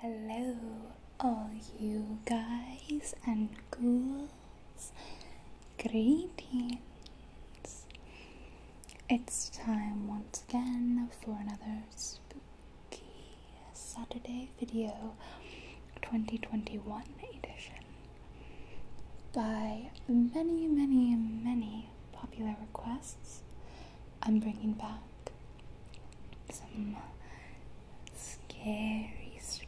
Hello, all you guys and ghouls. Greetings. It's time once again for another spooky Saturday video 2021 edition by many, many, many popular requests I'm bringing back some scary stories.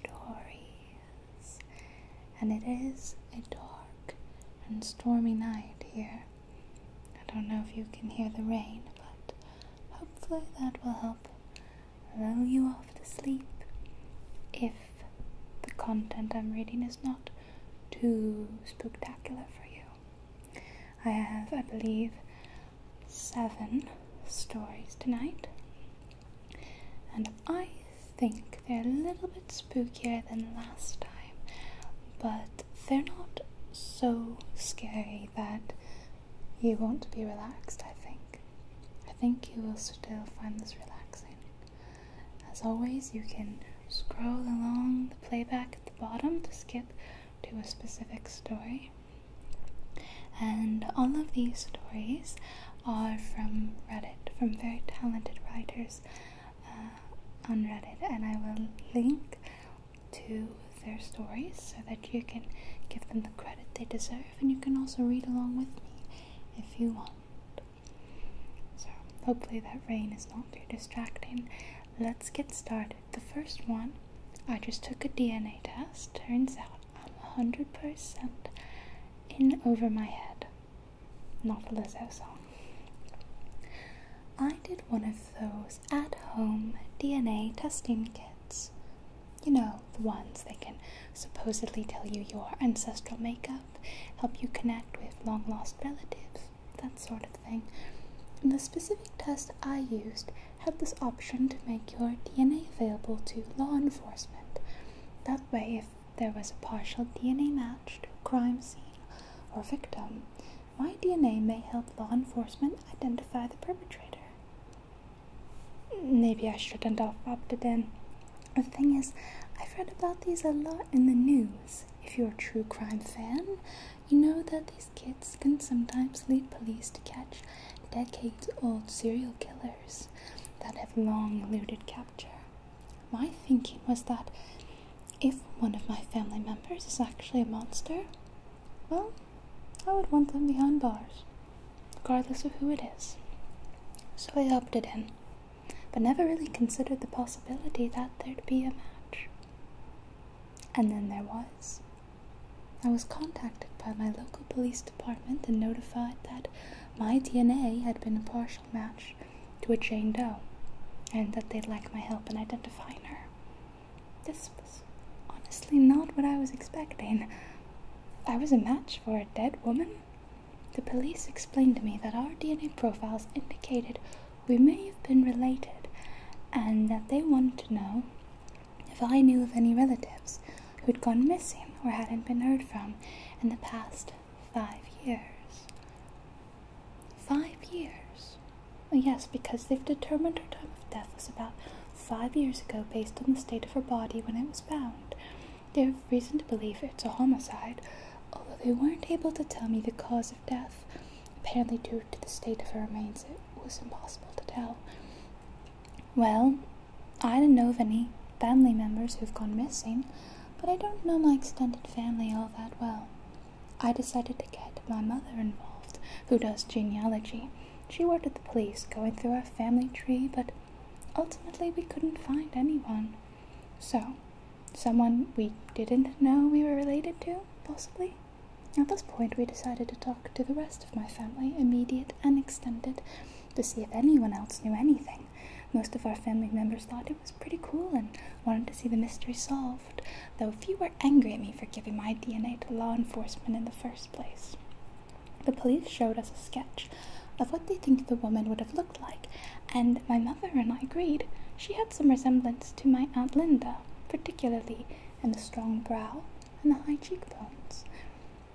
And it is a dark and stormy night here. I don't know if you can hear the rain, but hopefully that will help lull you off to sleep if the content I'm reading is not too spectacular for you. I have, I believe, seven stories tonight. And I think they're a little bit spookier than last time, but they're not so scary that you want to be relaxed, I think. I think you will still find this relaxing. As always, you can scroll along the playback at the bottom to skip to a specific story. And all of these stories are from Reddit, from very talented writers uh, on Reddit, and I will link to their stories so that you can give them the credit they deserve, and you can also read along with me if you want. So, hopefully, that rain is not too distracting let's get started. The first one, I just took a DNA test. Turns out I'm 100% in over my head. Not a Lizzo song. I did one of those at home DNA testing kits. You know, the ones they can supposedly tell you your ancestral makeup, help you connect with long lost relatives, that sort of thing the specific test I used had this option to make your DNA available to law enforcement. That way, if there was a partial DNA match to a crime scene or victim, my DNA may help law enforcement identify the perpetrator. Maybe I shouldn't have opted in. The thing is, I've read about these a lot in the news. If you're a true crime fan, you know that kids can sometimes lead police to catch decades old serial killers that have long eluded capture. My thinking was that if one of my family members is actually a monster, well, I would want them behind bars, regardless of who it is. So I opted in, but never really considered the possibility that there'd be a match. And then there was. I was contacted by my local police department and notified that my DNA had been a partial match to a Jane Doe and that they'd like my help in identifying her. This was honestly not what I was expecting. I was a match for a dead woman. The police explained to me that our DNA profiles indicated we may have been related and that they wanted to know if I knew of any relatives who had gone missing or hadn't been heard from in the past five years. Five years? Yes, because they've determined her time of death was about five years ago based on the state of her body when it was found. They have reason to believe it's a homicide, although they weren't able to tell me the cause of death. Apparently, due to the state of her remains, it was impossible to tell. Well, I don't know of any family members who've gone missing, but I don't know my extended family all that well. I decided to get my mother involved, who does genealogy. She worked at the police, going through our family tree, but ultimately we couldn't find anyone. So, someone we didn't know we were related to, possibly? At this point, we decided to talk to the rest of my family, immediate and extended, to see if anyone else knew anything. Most of our family members thought it was pretty cool and wanted to see the mystery solved, though a few were angry at me for giving my DNA to law enforcement in the first place. The police showed us a sketch of what they think the woman would have looked like, and my mother and I agreed she had some resemblance to my Aunt Linda, particularly in the strong brow, and the high cheekbones.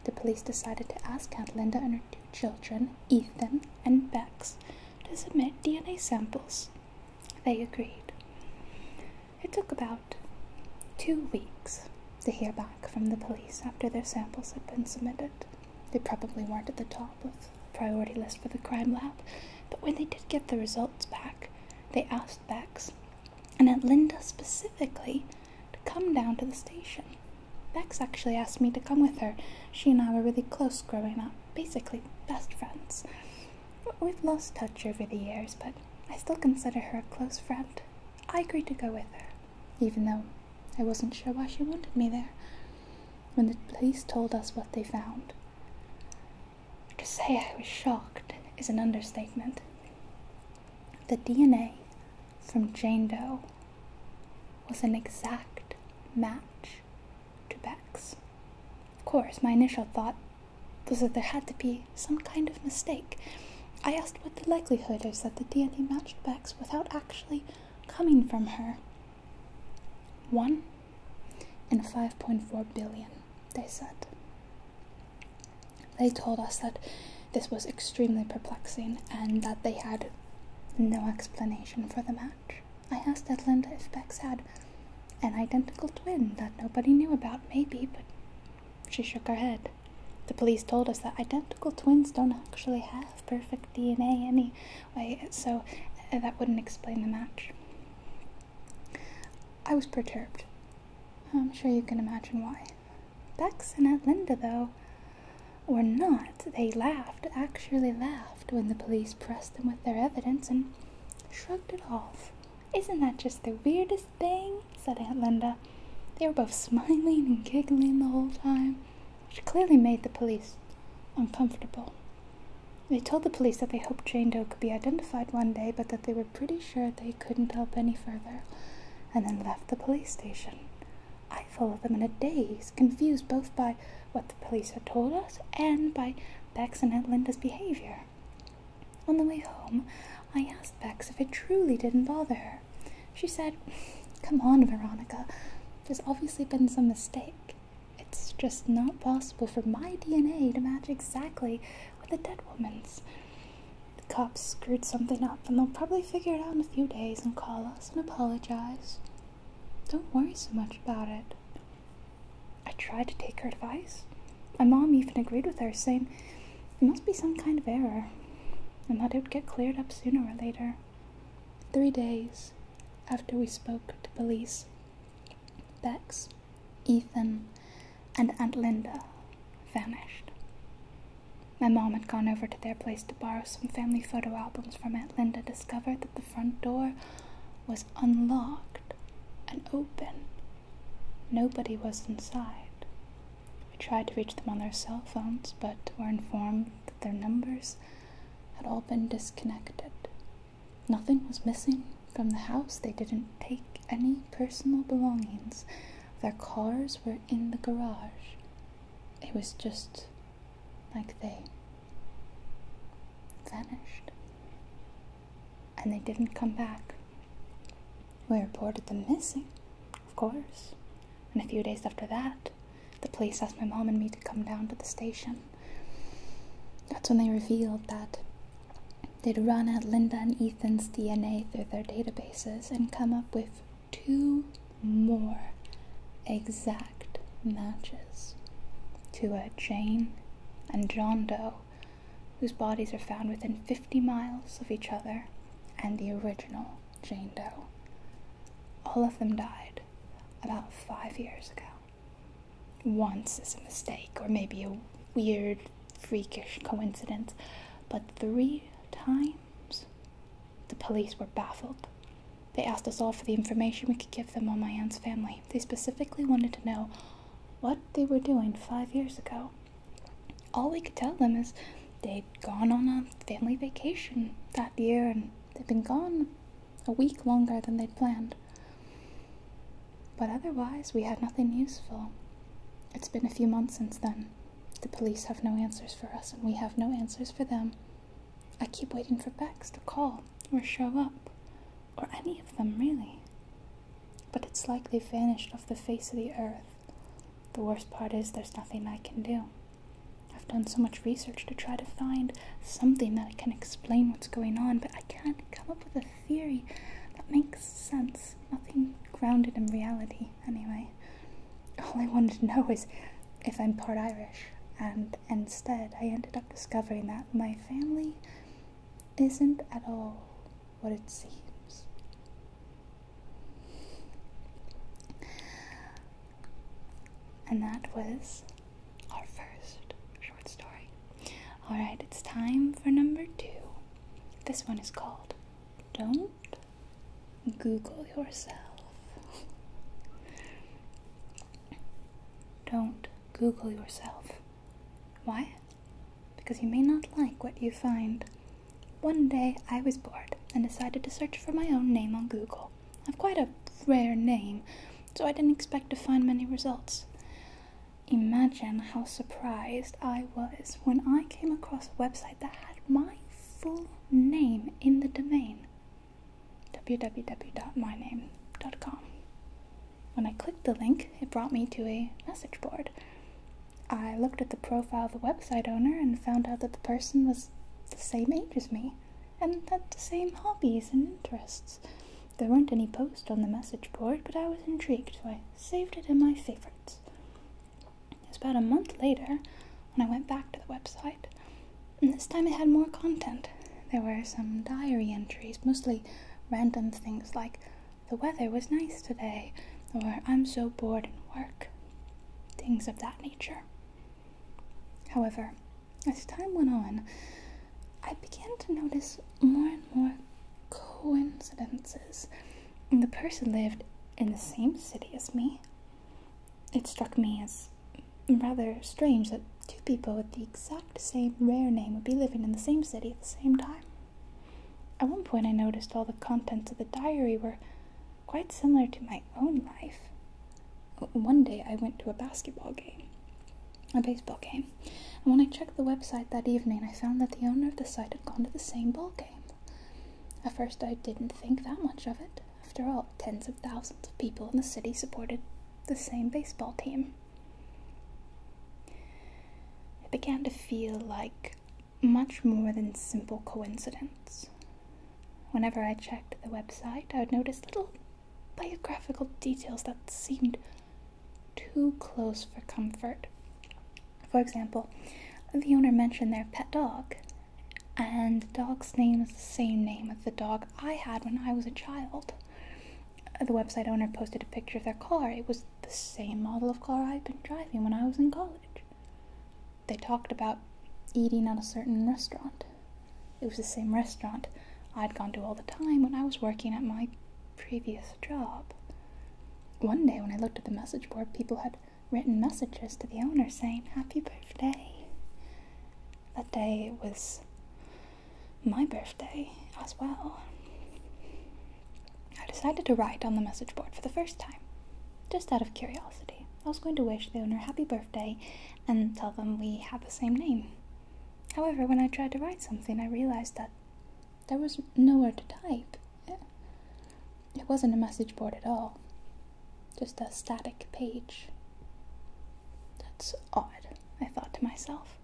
The police decided to ask Aunt Linda and her two children, Ethan and Bex, to submit DNA samples. They agreed. It took about two weeks to hear back from the police after their samples had been submitted. They probably weren't at the top of the priority list for the crime lab, but when they did get the results back, they asked Bex and at Linda specifically to come down to the station. Bex actually asked me to come with her. She and I were really close growing up, basically best friends. We've lost touch over the years, but I still consider her a close friend. I agreed to go with her, even though I wasn't sure why she wanted me there. When the police told us what they found, to say I was shocked is an understatement. The DNA from Jane Doe was an exact match to Beck's. Of course, my initial thought was that there had to be some kind of mistake. I asked what the likelihood is that the DNA matched Beck's without actually coming from her. One in 5.4 billion they said. They told us that this was extremely perplexing and that they had no explanation for the match. I asked Edlinda if Bex had an identical twin that nobody knew about, maybe, but she shook her head. The police told us that identical twins don't actually have perfect DNA anyway, so uh, that wouldn't explain the match. I was perturbed. I'm sure you can imagine why. Bex and Aunt Linda, though, were not, they laughed, actually laughed, when the police pressed them with their evidence and shrugged it off. Isn't that just the weirdest thing? said Aunt Linda. They were both smiling and giggling the whole time, which clearly made the police uncomfortable. They told the police that they hoped Jane Doe could be identified one day, but that they were pretty sure they couldn't help any further and then left the police station. I followed them in a daze, confused both by what the police had told us and by Bex and Aunt Linda's behavior. On the way home, I asked Bex if it truly didn't bother her. She said, Come on, Veronica, there's obviously been some mistake. It's just not possible for my DNA to match exactly with a dead woman's. The cops screwed something up, and they'll probably figure it out in a few days and call us and apologize. Don't worry so much about it. I tried to take her advice. My mom even agreed with her, saying it must be some kind of error, and that it would get cleared up sooner or later. Three days after we spoke to police, Bex Ethan, and Aunt Linda vanished. My mom had gone over to their place to borrow some family photo albums from Aunt Linda, discovered that the front door was unlocked and open. Nobody was inside. We tried to reach them on their cell phones, but were informed that their numbers had all been disconnected. Nothing was missing, from the house, they didn't take any personal belongings. Their cars were in the garage. It was just like they vanished. And they didn't come back. We reported them missing, of course. And a few days after that, the police asked my mom and me to come down to the station. That's when they revealed that They'd run at Linda and Ethan's DNA through their databases and come up with two more exact matches to a Jane and John Doe, whose bodies are found within 50 miles of each other, and the original Jane Doe. All of them died about five years ago. Once is a mistake, or maybe a weird freakish coincidence, but three times the police were baffled. They asked us all for the information we could give them on my aunt's family. They specifically wanted to know what they were doing five years ago. All we could tell them is they'd gone on a family vacation that year and they'd been gone a week longer than they'd planned. But otherwise, we had nothing useful. It's been a few months since then. The police have no answers for us, and we have no answers for them. I keep waiting for Bex to call, or show up, or any of them, really. But it's like they vanished off the face of the earth. The worst part is there's nothing I can do. I've done so much research to try to find something that can explain what's going on, but I can't come up with a theory that makes sense, nothing grounded in reality, anyway. All I wanted to know is if I'm part Irish, and instead I ended up discovering that my family isn't at all what it seems. And that was our first short story. Alright, it's time for number two. This one is called Don't Google Yourself. Don't Google yourself. Why? Because you may not like what you find. One day I was bored and decided to search for my own name on Google. I've quite a rare name, so I didn't expect to find many results. Imagine how surprised I was when I came across a website that had my full name in the domain www.myname.com. When I clicked the link, it brought me to a message board. I looked at the profile of the website owner and found out that the person was the same age as me and had the same hobbies and interests. There weren't any posts on the message board, but I was intrigued, so saved it in my favorites. It was about a month later when I went back to the website, and this time it had more content. There were some diary entries, mostly random things like, the weather was nice today, or I'm so bored in work, things of that nature. However, as time went on, I began to notice more and more coincidences. And the person lived in the same city as me. It struck me as rather strange that two people with the exact same rare name would be living in the same city at the same time. At one point, I noticed all the contents of the diary were quite similar to my own life. One day, I went to a basketball game, a baseball game and when I checked the website that evening, I found that the owner of the site had gone to the same ball game. At first, I didn't think that much of it. After all, tens of thousands of people in the city supported the same baseball team. It began to feel like much more than simple coincidence. Whenever I checked the website, I would notice little biographical details that seemed too close for comfort. For example, the owner mentioned their pet dog, and the dog's name is the same name as the dog I had when I was a child. Uh, the website owner posted a picture of their car. It was the same model of car I'd been driving when I was in college. They talked about eating at a certain restaurant. It was the same restaurant I'd gone to all the time when I was working at my previous job. One day, when I looked at the message board, people had written messages to the owner saying, Happy birthday. That day was my birthday as well. I decided to write on the message board for the first time, just out of curiosity. I was going to wish the owner happy birthday and tell them we have the same name. However, when I tried to write something, I realized that there was nowhere to type. It wasn't a message board at all, just a static page. That's odd, I thought to myself.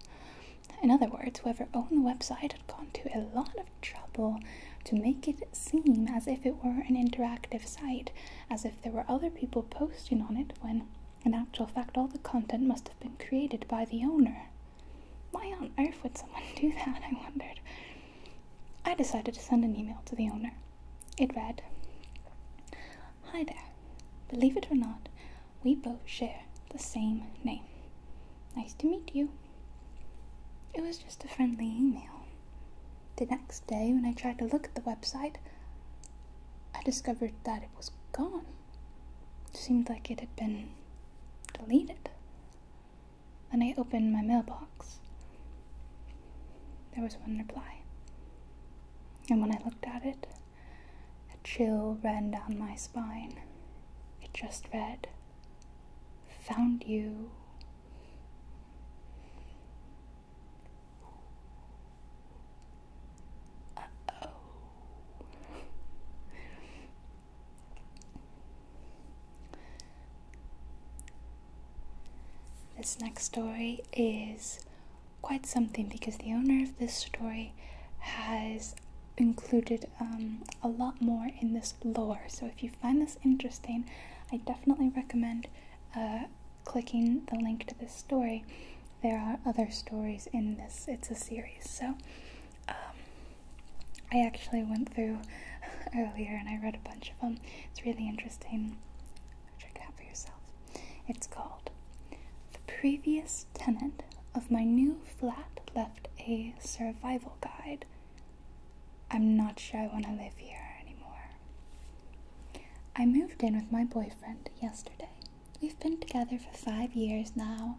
In other words, whoever owned the website had gone to a lot of trouble to make it seem as if it were an interactive site, as if there were other people posting on it when, in actual fact, all the content must have been created by the owner. Why on earth would someone do that? I wondered. I decided to send an email to the owner. It read Hi there. Believe it or not, we both share the same name. Nice to meet you. It was just a friendly email. The next day, when I tried to look at the website, I discovered that it was gone. It seemed like it had been deleted. Then I opened my mailbox, there was one reply. And when I looked at it, a chill ran down my spine. It just read, Found you. Uh -oh. This next story is quite something because the owner of this story has included um, a lot more in this lore. So if you find this interesting, I definitely recommend uh, clicking the link to this story. There are other stories in this, it's a series. So um, I actually went through earlier and I read a bunch of them. It's really interesting. Check it out for yourself. It's called The Previous Tenant of My New Flat Left a Survival Guide. I'm not sure I want to live here anymore. I moved in with my boyfriend yesterday. We've been together for five years now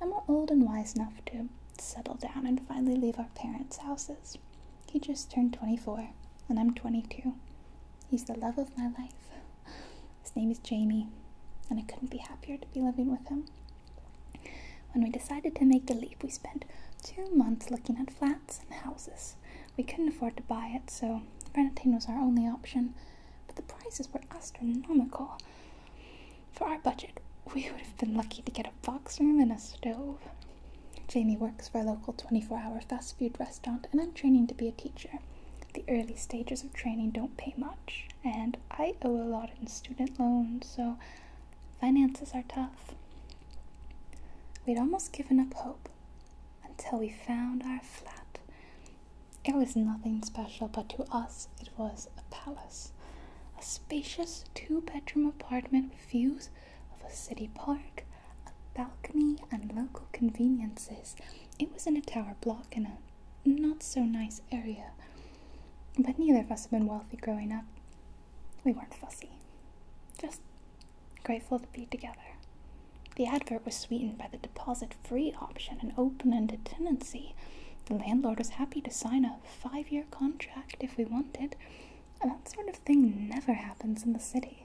and we're old and wise enough to settle down and finally leave our parents' houses. He just turned 24, and I'm 22. He's the love of my life. His name is Jamie, and I couldn't be happier to be living with him. When we decided to make the leap, we spent two months looking at flats and houses. We couldn't afford to buy it, so renting was our only option, but the prices were astronomical. For our budget, we would have been lucky to get a box room and a stove. Jamie works for a local 24 hour fast food restaurant, and I'm training to be a teacher. The early stages of training don't pay much, and I owe a lot in student loans, so finances are tough. We'd almost given up hope until we found our flat. It was nothing special, but to us, it was a palace a spacious two bedroom apartment with views of a city park, a balcony, and local conveniences. It was in a tower block in a not so nice area, but neither of us had been wealthy growing up. We weren't fussy, just grateful to be together. The advert was sweetened by the deposit free option and open ended tenancy. The landlord was happy to sign a five year contract if we wanted. And that sort of thing never happens in the city.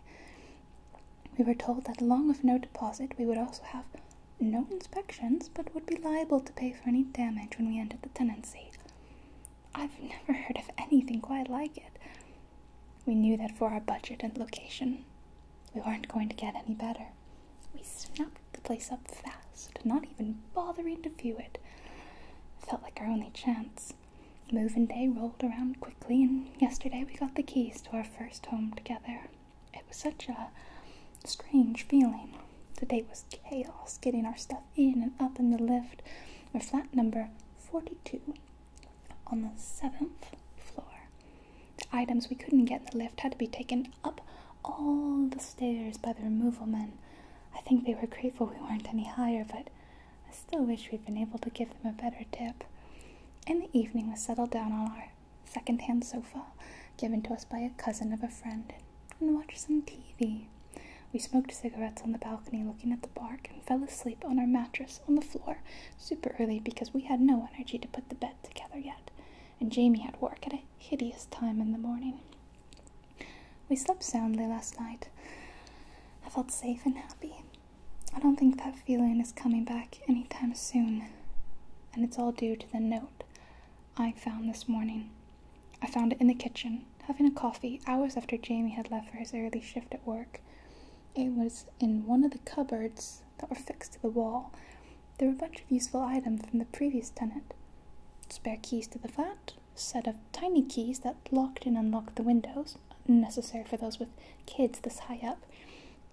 We were told that along with no deposit, we would also have no inspections, but would be liable to pay for any damage when we ended the tenancy. I've never heard of anything quite like it. We knew that for our budget and location, we weren't going to get any better. We snapped the place up fast, not even bothering to view it. it felt like our only chance. Moving day rolled around quickly, and yesterday we got the keys to our first home together. It was such a strange feeling. The day was chaos getting our stuff in and up in the lift. Our flat number 42 on the seventh floor. items we couldn't get in the lift had to be taken up all the stairs by the removal men. I think they were grateful we weren't any higher, but I still wish we'd been able to give them a better tip. In the evening, we settled down on our second-hand sofa, given to us by a cousin of a friend, and watched some TV. We smoked cigarettes on the balcony looking at the park and fell asleep on our mattress on the floor super early because we had no energy to put the bed together yet and Jamie had work at a hideous time in the morning. We slept soundly last night. I felt safe and happy. I don't think that feeling is coming back any time soon, and it's all due to the note I found this morning. I found it in the kitchen, having a coffee hours after Jamie had left for his early shift at work. It was in one of the cupboards that were fixed to the wall, there were a bunch of useful items from the previous tenant spare keys to the flat, a set of tiny keys that locked and unlocked the windows, necessary for those with kids this high up,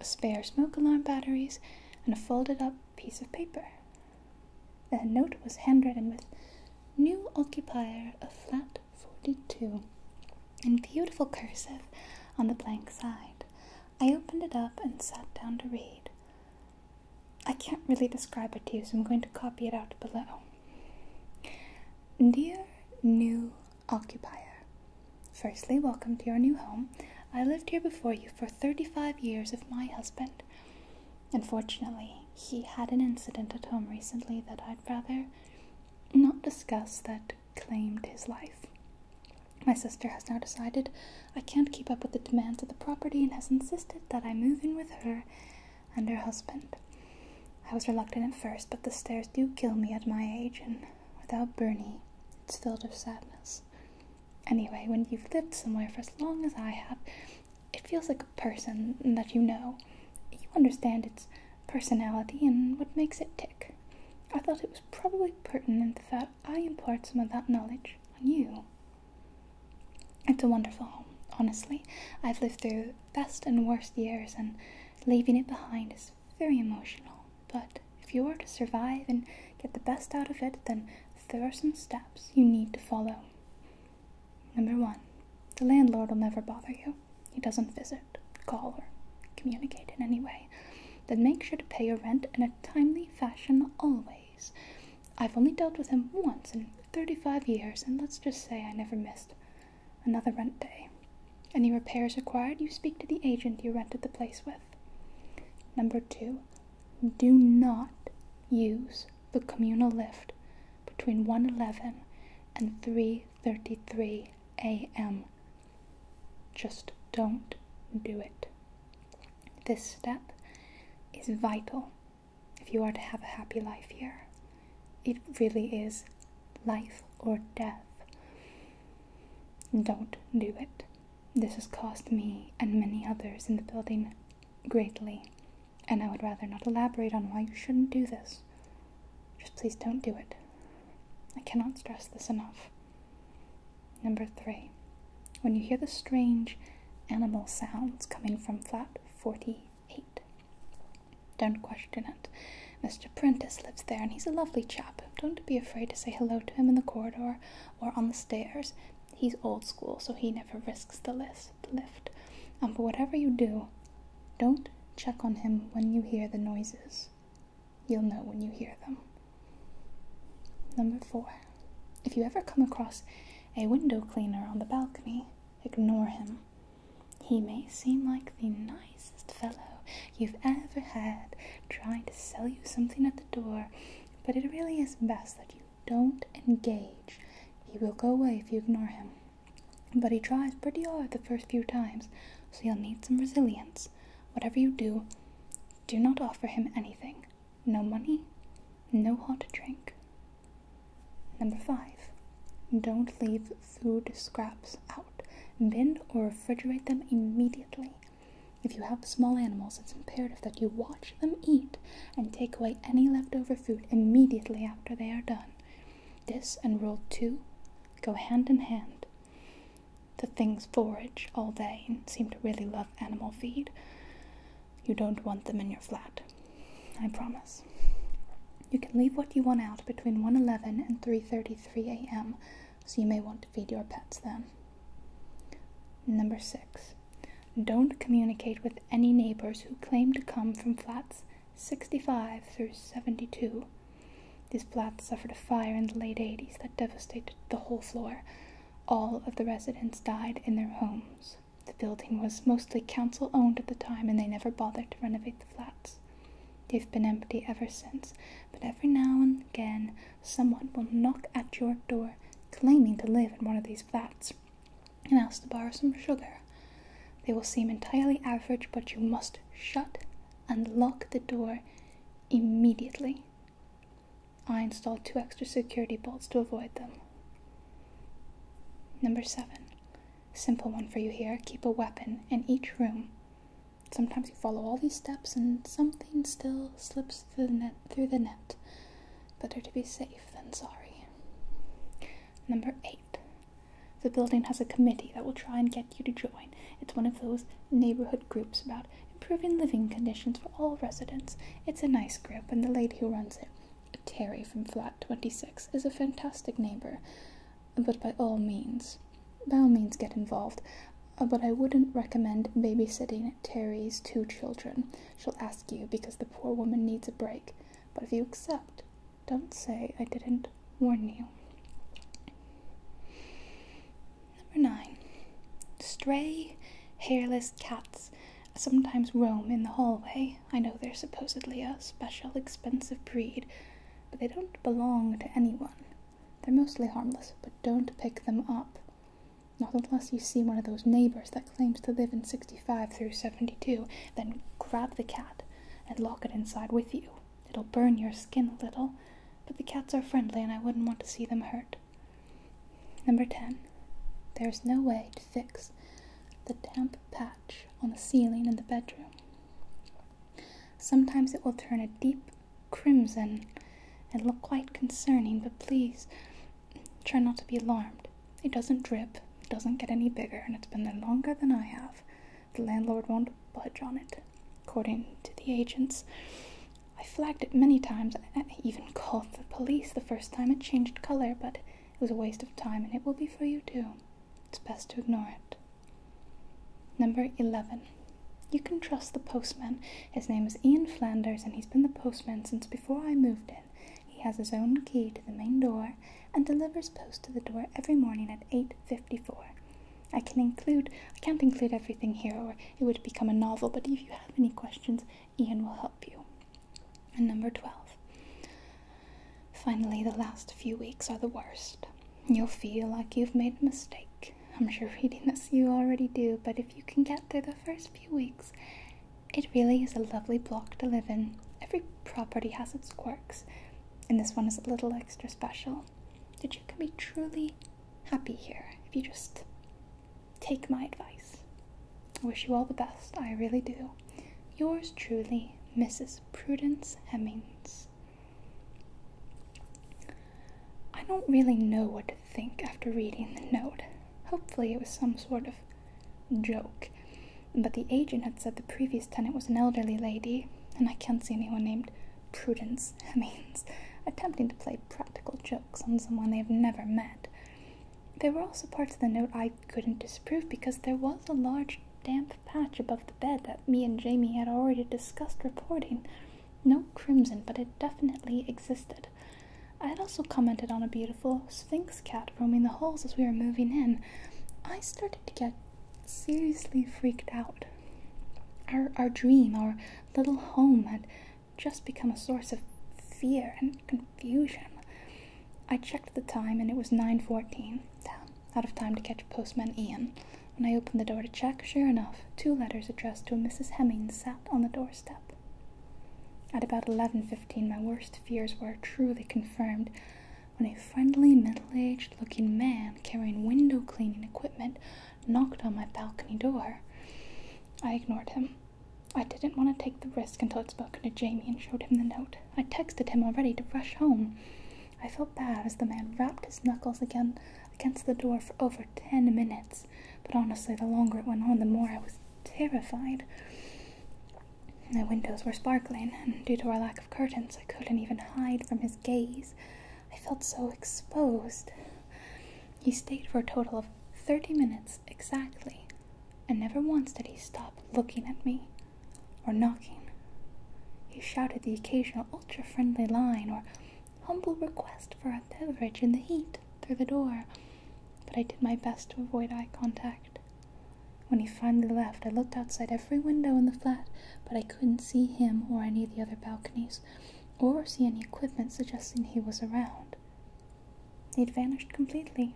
spare smoke alarm batteries, and a folded up piece of paper. The note was handwritten with New Occupier of Flat 42 in beautiful cursive on the blank side. I opened it up and sat down to read. I can't really describe it to you, so I'm going to copy it out below. Dear new occupier, firstly, welcome to your new home. I lived here before you for 35 years with my husband. Unfortunately, he had an incident at home recently that I'd rather not discuss that claimed his life. My sister has now decided I can't keep up with the demands of the property and has insisted that I move in with her and her husband. I was reluctant at first, but the stairs do kill me at my age, and without Bernie, it's filled with sadness. Anyway, when you've lived somewhere for as long as I have, it feels like a person that you know. You understand its personality and what makes it tick. I thought it was probably pertinent that I impart some of that knowledge on you. It's a wonderful home, honestly. I've lived through best and worst years, and leaving it behind is very emotional. But if you are to survive and get the best out of it, then there are some steps you need to follow. Number one, the landlord will never bother you. He doesn't visit, call, or communicate in any way. Then make sure to pay your rent in a timely fashion always. I've only dealt with him once in 35 years, and let's just say I never missed another rent day. Any repairs required, you speak to the agent you rented the place with. Number two, do not use the communal lift between 1:11 and 3:33 a.m. Just don't do it. This step is vital if you are to have a happy life here. It really is life or death. Don't do it. This has cost me and many others in the building greatly, and I would rather not elaborate on why you shouldn't do this. Just please don't do it. I cannot stress this enough. Number three, when you hear the strange animal sounds coming from flat 48. Don't question it. Mr. Prentice lives there and he's a lovely chap. Don't be afraid to say hello to him in the corridor or on the stairs. He's old school, so he never risks the lift. And for whatever you do, don't check on him when you hear the noises. You'll know when you hear them. Number four, if you ever come across a window cleaner on the balcony, ignore him. He may seem like the nicest fellow you've ever had trying to sell you something at the door, but it really is best that you don't engage. He will go away if you ignore him. But he tries pretty hard the first few times, so you'll need some resilience. Whatever you do, do not offer him anything no money, no hot drink. Number five, don't leave food scraps out. Bin or refrigerate them immediately. If you have small animals, it's imperative that you watch them eat and take away any leftover food immediately after they are done. This and rule two go hand in hand. The things forage all day and seem to really love animal feed. You don't want them in your flat. I promise. You can leave what you want out between 1:11 and 3:33 a.m., so you may want to feed your pets then. Number 6. Don't communicate with any neighbors who claim to come from flats 65 through 72. These flats suffered a fire in the late 80s that devastated the whole floor, all of the residents died in their homes. The building was mostly council owned at the time and they never bothered to renovate the flats. They've been empty ever since, but every now and again someone will knock at your door claiming to live in one of these flats and ask to borrow some sugar. They will seem entirely average, but you must shut and lock the door immediately. I installed two extra security bolts to avoid them. Number seven, simple one for you here keep a weapon in each room. Sometimes you follow all these steps and something still slips through the net. Better to be safe than sorry. Number eight, the building has a committee that will try and get you to join. It's one of those neighborhood groups about improving living conditions for all residents. It's a nice group, and the lady who runs it, Terry from Flat 26, is a fantastic neighbor. But by all means, by all means, get involved. Uh, but I wouldn't recommend babysitting Terry's two children. She'll ask you because the poor woman needs a break. But if you accept, don't say I didn't warn you. Number nine, stray hairless cats sometimes roam in the hallway. I know they're supposedly a special, expensive breed, but they don't belong to anyone. They're mostly harmless, but don't pick them up. Not unless you see one of those neighbors that claims to live in 65 through 72, then grab the cat and lock it inside with you. It'll burn your skin a little, but the cats are friendly and I wouldn't want to see them hurt. Number 10. There's no way to fix the damp patch on the ceiling in the bedroom. Sometimes it will turn a deep crimson and look quite concerning, but please try not to be alarmed. It doesn't drip, it doesn't get any bigger, and it's been there longer than I have. The landlord won't budge on it, according to the agents. I flagged it many times. I even called the police the first time it changed color, but it was a waste of time, and it will be for you too. It's best to ignore it. Number 11. You can trust the postman. His name is Ian Flanders, and he's been the postman since before I moved in. He has his own key to the main door and delivers post to the door every morning at 8:54. I can include I can't include everything here or it would become a novel, but if you have any questions, Ian will help you. And number 12. Finally, the last few weeks are the worst. You'll feel like you've made a mistake. I'm sure reading this you already do, but if you can get through the first few weeks, it really is a lovely block to live in. Every property has its quirks, and this one is a little extra special. That you can be truly happy here if you just Take my advice. I wish you all the best, I really do. Yours truly, Mrs. Prudence Hemmings. I don't really know what to think after reading the note. Hopefully, it was some sort of joke. But the agent had said the previous tenant was an elderly lady, and I can't see anyone named Prudence Hemmings attempting to play practical jokes on someone they have never met. There were also parts of the note I couldn't disprove because there was a large damp patch above the bed that me and Jamie had already discussed reporting. No crimson, but it definitely existed. I had also commented on a beautiful sphinx cat roaming the halls as we were moving in. I started to get seriously freaked out. Our, our dream, our little home, had just become a source of fear and confusion. I checked the time and it was 9:14. Damn, out of time to catch postman Ian. When I opened the door to check, sure enough, two letters addressed to a Mrs. Hemming sat on the doorstep. At about 11:15, my worst fears were truly confirmed when a friendly, middle-aged looking man carrying window cleaning equipment knocked on my balcony door. I ignored him. I didn't want to take the risk until I'd spoken to Jamie and showed him the note. I texted him already to rush home. I felt bad as the man rapped his knuckles again against the door for over ten minutes, but honestly, the longer it went on, the more I was terrified. The windows were sparkling, and due to our lack of curtains, I couldn't even hide from his gaze. I felt so exposed. He stayed for a total of 30 minutes exactly, and never once did he stop looking at me or knocking. He shouted the occasional ultra friendly line or humble request for a beverage in the heat through the door, but I did my best to avoid eye contact. When he finally left, I looked outside every window in the flat, but I couldn't see him or any of the other balconies, or see any equipment suggesting he was around. He'd vanished completely.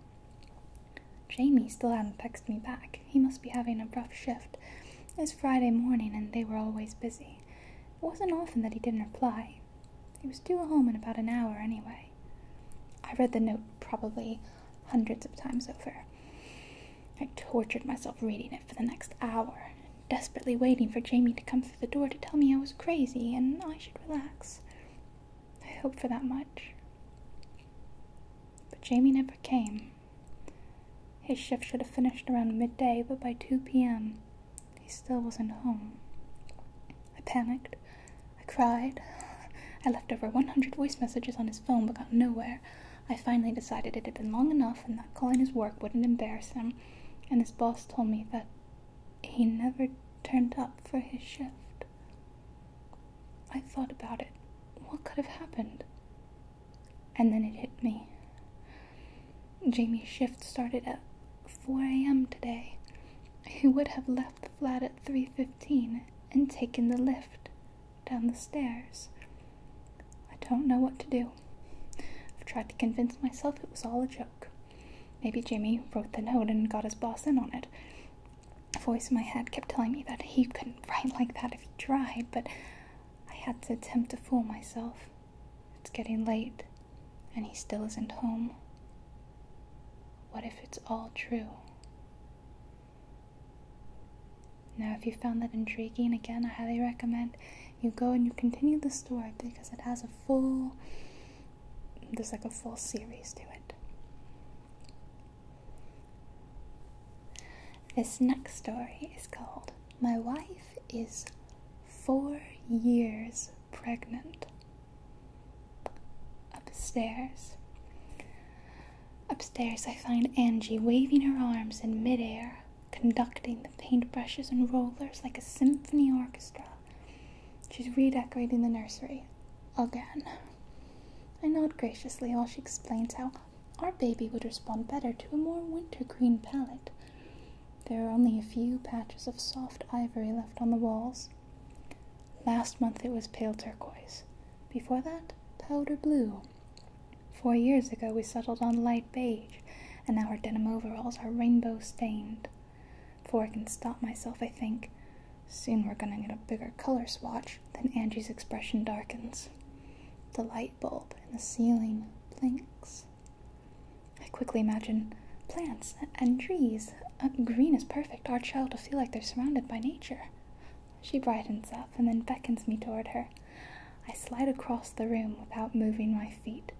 Jamie still hadn't texted me back. He must be having a rough shift. It was Friday morning and they were always busy. It wasn't often that he didn't reply. He was due home in about an hour anyway. I read the note probably hundreds of times over. I tortured myself reading it for the next hour, desperately waiting for Jamie to come the door to tell me I was crazy and I should relax. I hoped for that much. But Jamie never came. His shift should have finished around midday, but by 2 p.m., he still wasn't home. I panicked. I cried. I left over 100 voice messages on his phone but got nowhere. I finally decided it had been long enough and that calling his work wouldn't embarrass him, and his boss told me that he never turned up for his shift. I thought about it. What could have happened? And then it hit me. Jamie's shift started at 4 a.m. today. He would have left the flat at 3:15 and taken the lift down the stairs. I don't know what to do. I've tried to convince myself it was all a joke. Maybe Jimmy wrote the note and got his boss in on it. A voice in my head kept telling me that he couldn't write like that if he tried, but I had to attempt to fool myself. It's getting late, and he still isn't home. What if it's all true? Now, if you found that intriguing, again, I highly recommend you go and you continue the story because it has a full there's like a full series to it. This next story is called My Wife is Four Years Pregnant. Upstairs. Upstairs, I find Angie waving her arms in midair, conducting the paintbrushes and rollers like a symphony orchestra. She's redecorating the nursery. Again. I nod graciously while she explains how our baby would respond better to a more winter green palette. There are only a few patches of soft ivory left on the walls. Last month it was pale turquoise. Before that, powder blue. Four years ago we settled on light beige, and now our denim overalls are rainbow stained. Before I can stop myself, I think, soon we're gonna get a bigger color swatch, then Angie's expression darkens. The light bulb in the ceiling blinks. I quickly imagine plants and trees. green is perfect. Our child will feel like they're surrounded by nature. She brightens up and then beckons me toward her. I slide across the room without moving my feet,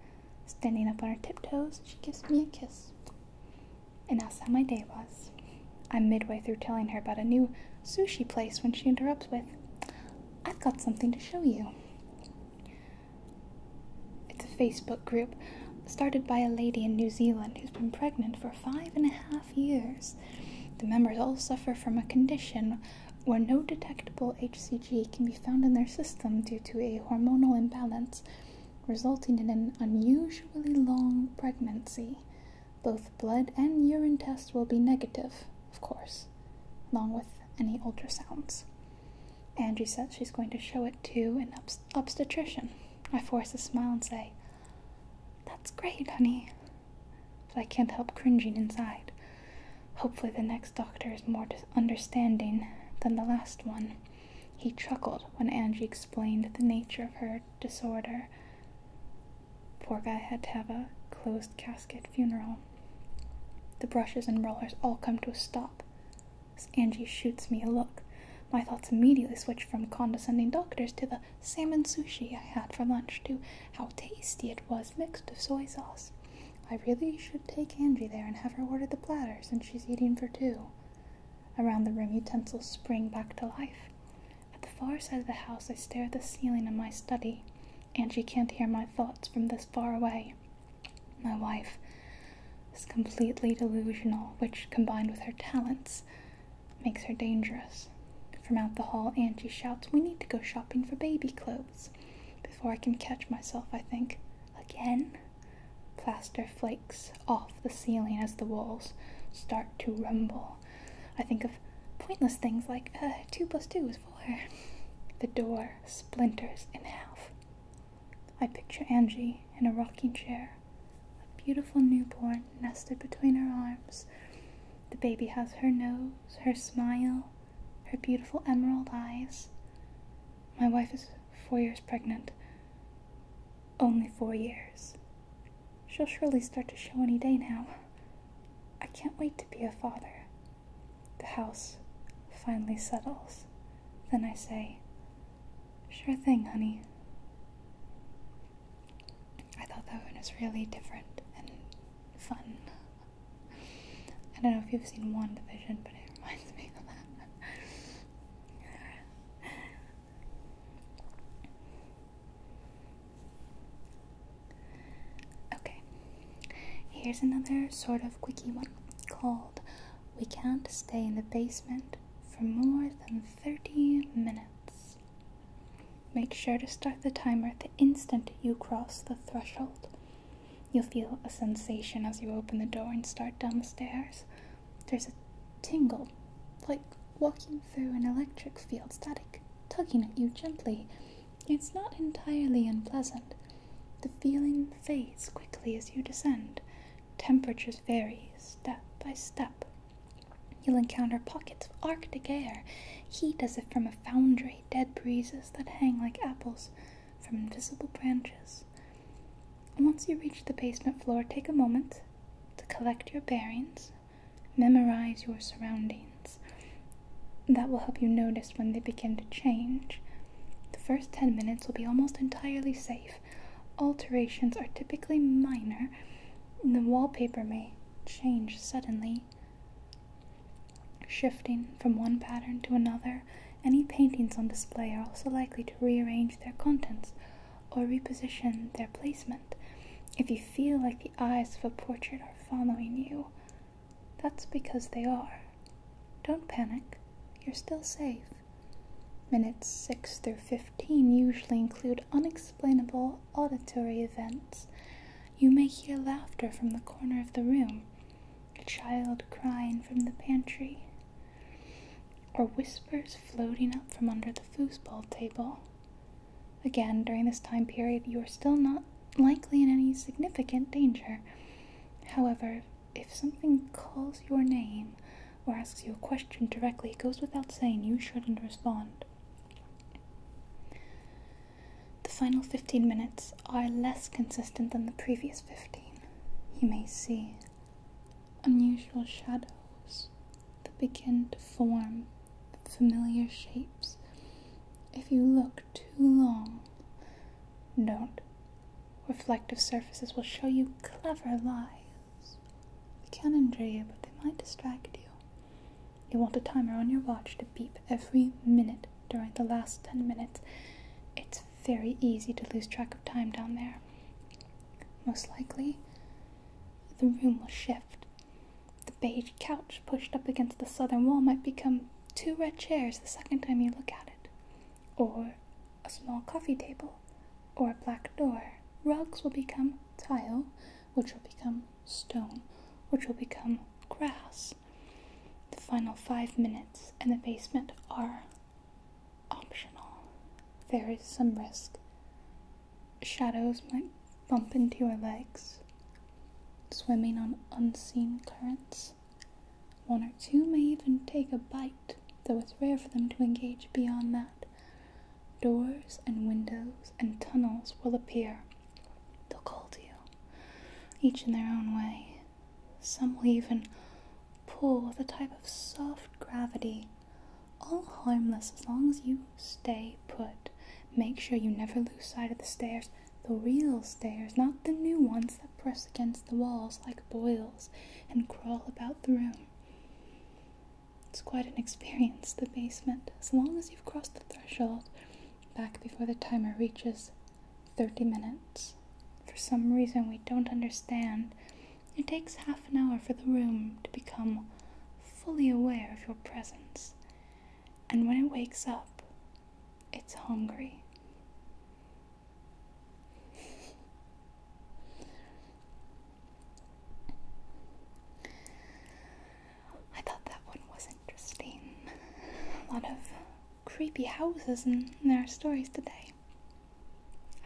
Standing up on her tiptoes, she gives me a kiss and asks how my day was. I'm midway through telling her about a new sushi place when she interrupts with, I've got something to show you. It's a Facebook group started by a lady in New Zealand who's been pregnant for five and a half years. The members all suffer from a condition where no detectable HCG can be found in their system due to a hormonal imbalance resulting in an unusually long pregnancy. Both blood and urine tests will be negative, of course, along with any ultrasounds. Angie says she's going to show it to an obstetrician. I force a smile and say, That's great, honey. But I can't help cringing inside. Hopefully, the next doctor is more understanding than the last one. He chuckled when Angie explained the nature of her disorder. Poor guy had to have a closed casket funeral. The brushes and rollers all come to a stop. Angie shoots me a look, my thoughts immediately switch from condescending doctors to the salmon sushi I had for lunch to how tasty it was mixed with soy sauce. I really should take Angie there and have her order the platter since she's eating for two. Around the room, utensils spring back to life. At the far side of the house, I stare at the ceiling in my study. Angie can't hear my thoughts from this far away. My wife is completely delusional, which, combined with her talents, makes her dangerous. From out the hall, Angie shouts, We need to go shopping for baby clothes. Before I can catch myself, I think, Again? Plaster flakes off the ceiling as the walls start to rumble. I think of pointless things like uh, 2 plus 2 is 4. The door splinters in half. I picture Angie in a rocking chair, a beautiful newborn nested between her arms. The baby has her nose, her smile, her beautiful emerald eyes. My wife is four years pregnant. Only four years. She'll surely start to show any day now. I can't wait to be a father. The house finally settles. Then I say, Sure thing, honey. I thought that one was really different and fun. I don't know if you've seen One Division, but it reminds me of that. okay, here's another sort of quickie one called We Can't Stay in the Basement for More Than 30 Minutes. Make sure to start the timer the instant you cross the threshold. You'll feel a sensation as you open the door and start down the stairs. There's a tingle, like walking through an electric field static, tugging at you gently. It's not entirely unpleasant. The feeling fades quickly as you descend. Temperatures vary step by step. You'll encounter pockets of arctic air, heat as if from a foundry, dead breezes that hang like apples from invisible branches. Once you reach the basement floor, take a moment to collect your bearings, memorize your surroundings. That will help you notice when they begin to change. The first 10 minutes will be almost entirely safe. Alterations are typically minor, the wallpaper may change suddenly, shifting from one pattern to another any paintings on display are also likely to rearrange their contents or reposition their placement if you feel like the eyes of a portrait are following you. That's because they are. Don't panic, you're still safe. Minutes 6 through 15 usually include unexplainable auditory events. You may hear laughter from the corner of the room, a child crying from the pantry, or whispers floating up from under the foosball table. Again, during this time period, you are still not likely in any significant danger. However, if something calls your name or asks you a question directly, it goes without saying you shouldn't respond. The final 15 minutes are less consistent than the previous 15. You may see unusual shadows that begin to form familiar shapes. If you look too long, note Reflective surfaces will show you clever lies. They can injure you, but they might distract you. You want a timer on your watch to beep every minute during the last 10 minutes. It's very easy to lose track of time down there. Most likely, the room will shift. The beige couch pushed up against the southern wall might become two red chairs the second time you look at it, or a small coffee table, or a black door. Rugs will become tile, which will become stone, which will become grass. The final five minutes in the basement are optional. There is some risk. Shadows might bump into your legs, swimming on unseen currents. One or two may even take a bite, though it's rare for them to engage beyond that. Doors and windows and tunnels will appear. They'll call to you, each in their own way. Some will even pull with a type of soft gravity. All harmless as long as you stay put. Make sure you never lose sight of the stairs, the real stairs, not the new ones that press against the walls like boils and crawl about the room. It's quite an experience, the basement. As long as you've crossed the threshold, back before the timer reaches 30 minutes. For some reason we don't understand, it takes half an hour for the room to become fully aware of your presence. And when it wakes up, it's hungry. I thought that one was interesting. A lot of creepy houses in our stories today.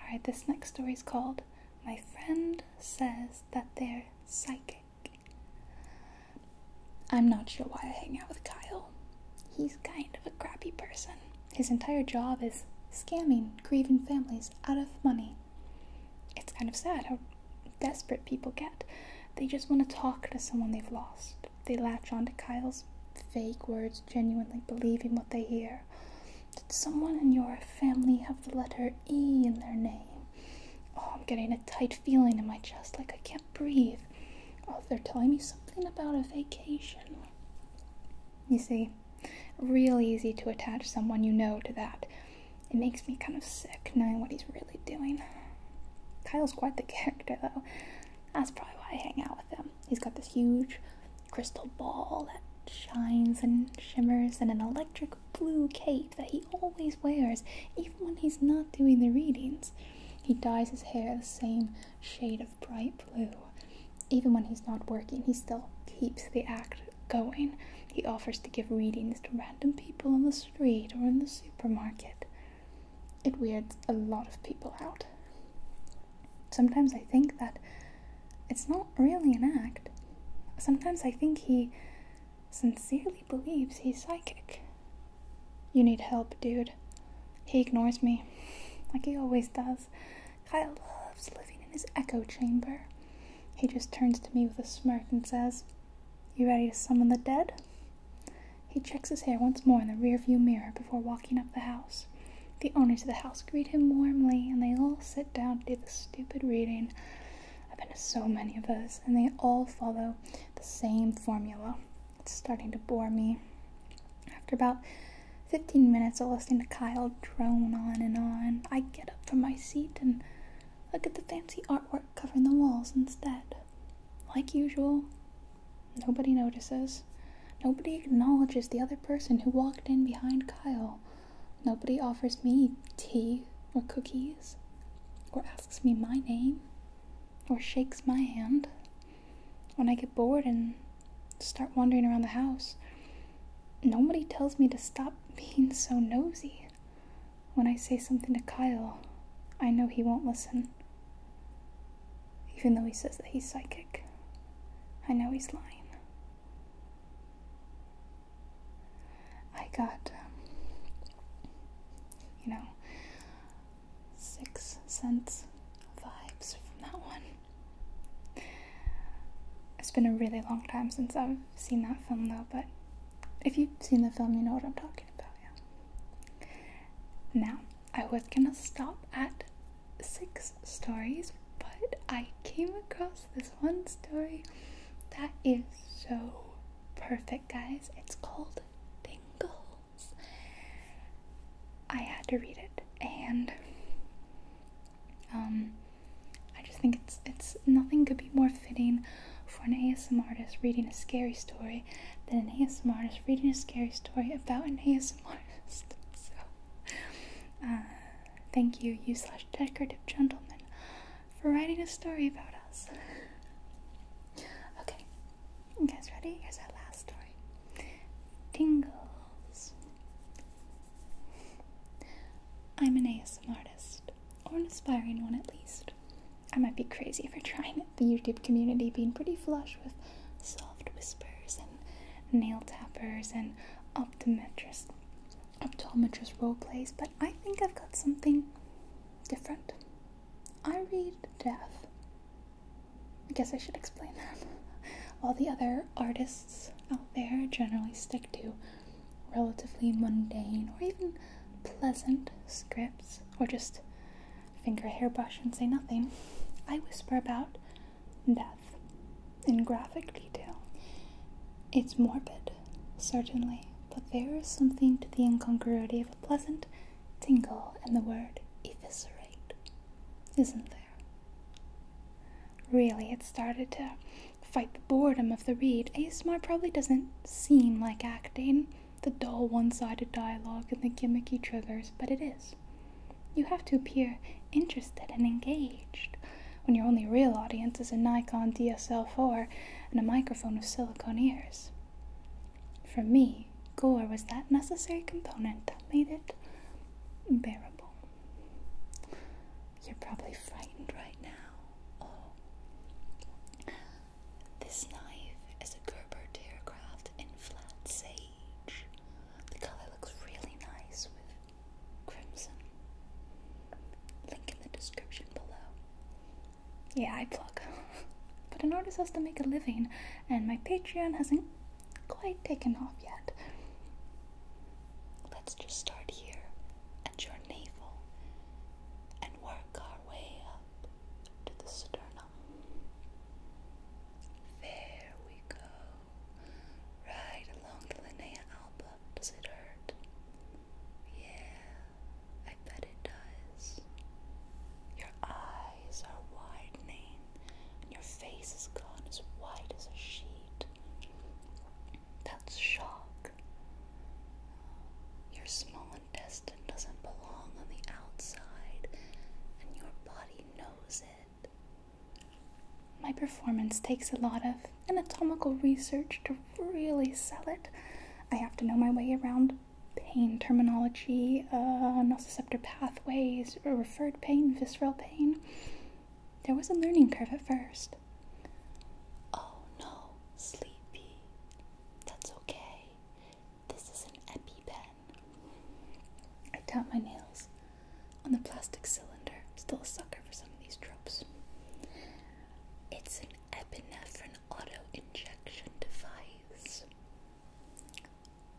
Alright, this next story is called My Friend Says That They're Psychic. I'm not sure why I hang out with Kyle. He's kind of a crappy person. His entire job is scamming grieving families out of money. It's kind of sad how desperate people get. They just want to talk to someone they've lost. They latch on to Kyle's fake words who's genuinely believing what they hear. Did someone in your family have the letter E in their name? Oh, I'm getting a tight feeling in my chest like I can't breathe. Oh, they're telling me something about a vacation. You see, real easy to attach someone you know to that. It makes me kind of sick knowing what he's really doing. Kyle's quite the character, though. That's probably why I hang out with him. He's got this huge crystal ball that shines and shimmers, and an electric blue cape that he always wears, even when he's not doing the readings. He dyes his hair the same shade of bright blue. Even when he's not working, he still keeps the act going. He offers to give readings to random people on the street or in the supermarket. It weirds a lot of people out. Sometimes I think that it's not really an act. Sometimes I think he sincerely believes he's psychic. You need help, dude. He ignores me, like he always does. Kyle loves living in his echo chamber. He just turns to me with a smirk and says, You ready to summon the dead? He checks his hair once more in the rearview mirror before walking up the house. The owners of the house greet him warmly, and they all sit down to do the stupid reading. I've been to so many of those, and they all follow the same formula. It's starting to bore me. After about 15 minutes of listening to Kyle drone on and on, I get up from my seat and look at the fancy artwork covering the walls instead. Like usual, Nobody notices. Nobody acknowledges the other person who walked in behind Kyle. Nobody offers me tea or cookies or asks me my name or shakes my hand. When I get bored and start wandering around the house, nobody tells me to stop being so nosy. When I say something to Kyle, I know he won't listen. Even though he says that he's psychic, I know he's lying. I got, um, you know, six cents vibes from that one. It's been a really long time since I've seen that film, though, but if you've seen the film, you know what I'm talking about, yeah. Now, I was gonna stop at six stories, but I came across this one story that is so perfect, guys. It's called Dingles. I had to read it, and um, I just think it's it's nothing could be more fitting for an ASMR artist reading a scary story than an ASMR artist reading a scary story about an ASMR artist. So uh, thank you, you slash decorative gentleman, for writing a story about us. Okay, you guys ready? Here's our last story Tingles. I'm an ASM artist, or an aspiring one at least. I might be crazy for trying it, the YouTube community being pretty flush with so soft whispers and nail tappers and optometrist role plays, but I think I've got something different. I read death. I guess I should explain that. All the other artists out there generally stick to relatively mundane or even pleasant scripts or just finger hairbrush and say nothing. I whisper about death in graphic detail. It's morbid, certainly, but there is something to the incongruity of a pleasant tingle in the word eviscerate, isn't there? Really, it started to fight the boredom of the read. Asmar probably doesn't seem like acting, the dull one sided dialogue and the gimmicky triggers, but it is. You have to appear interested and engaged when your only real audience is a Nikon DSL4 and a microphone with silicone ears. For me, gore was that necessary component that made it bearable. You're probably frightened right now. Oh. This knife is a Gerber Deercraft in flat the color looks really nice with crimson. Link in the description below. Yeah, I plug. but an artist has to make a living, and my Patreon hasn't quite taken off yet. Let's just start here at your navel and work our way up to the sternum. There we go. Right along the Linnea album. Does it hurt? Yeah, I bet it does. Your eyes are widening, and your face is gone as white as a sheet. That's shock. Your small intestine doesn't belong on the outside, and your body knows it. My performance takes a lot of anatomical research to really sell it. I have to know my way around pain terminology, uh, nociceptor pathways, referred pain, visceral pain. There was a learning curve at first. Oh no, sleepy. That's okay. This is an EpiPen. I tap my nails on the plastic cylinder. Still a sucker for some of these tropes. It's an epinephrine auto injection device,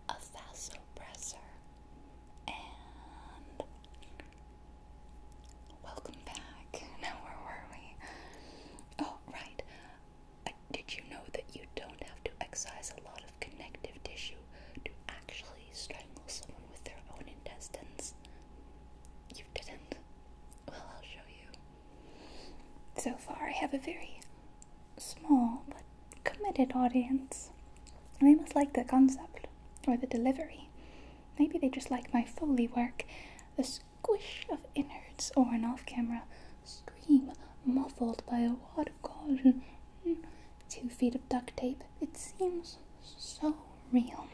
a vasopressor, and welcome back. Now, where were we? Oh, right. did you know that you don't to excise a lot of connective tissue to actually strangle someone with their own intestines. You didn't? Well, I'll show you. So far, I have a very small but committed audience. They must like the concept or the delivery. Maybe they just like my Foley work, the squish of innards or an off camera scream muffled by a water Hmm, two feet of duct tape. It seems so real.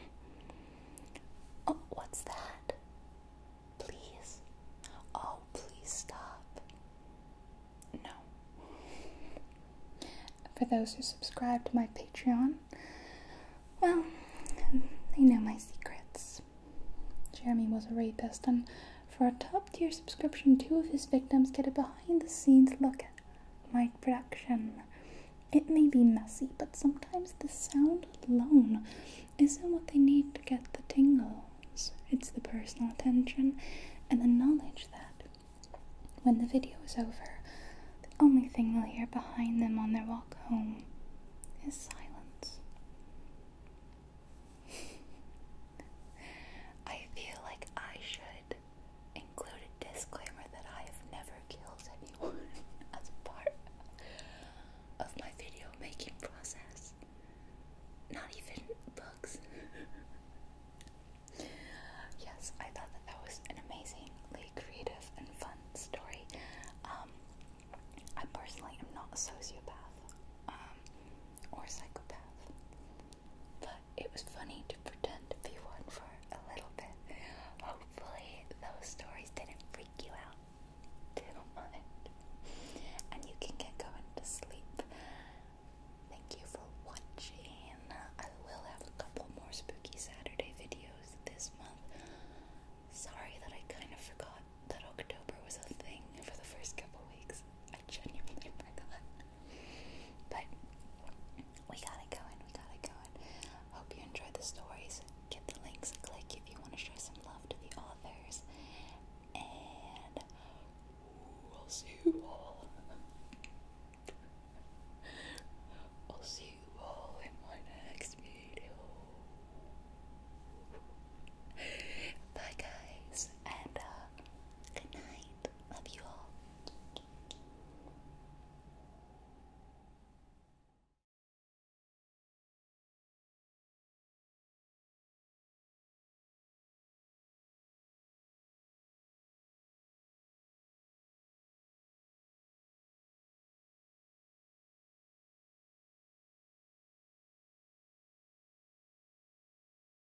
Oh, what's that? Please. Oh, please stop. No. For those who subscribe to my Patreon, well, they know my secrets. Jeremy was a rapist, and for a top tier subscription, two of his victims get a behind the scenes look at my production. It may be messy, but sometimes the sound alone isn't what they need to get the tingles. It's the personal attention and the knowledge that when the video is over, the only thing they'll hear behind them on their walk home is silence. I feel like I should include disclaimer that I have never killed anyone as part of my video making process. Not even books. yes, I thought that that was an amazingly creative and fun story. Um, I personally am not a sociopath um, or a psychopath but it was funny to pretend to be one for a little bit. Hopefully, those stories didn't freak you out too much, and you can get going to sleep. Thank you for watching. I will have a couple more spooky Saturday videos this month. Sorry that I kind of forgot that October was a thing for the first couple weeks. I genuinely forgot. But we got it going, we got it going. Hope you enjoyed the stories. Get the links a click if you want to show some love to the authors. And I'll see you all. I'll see you all in my next video. Bye guys and uh, good night. Love you all.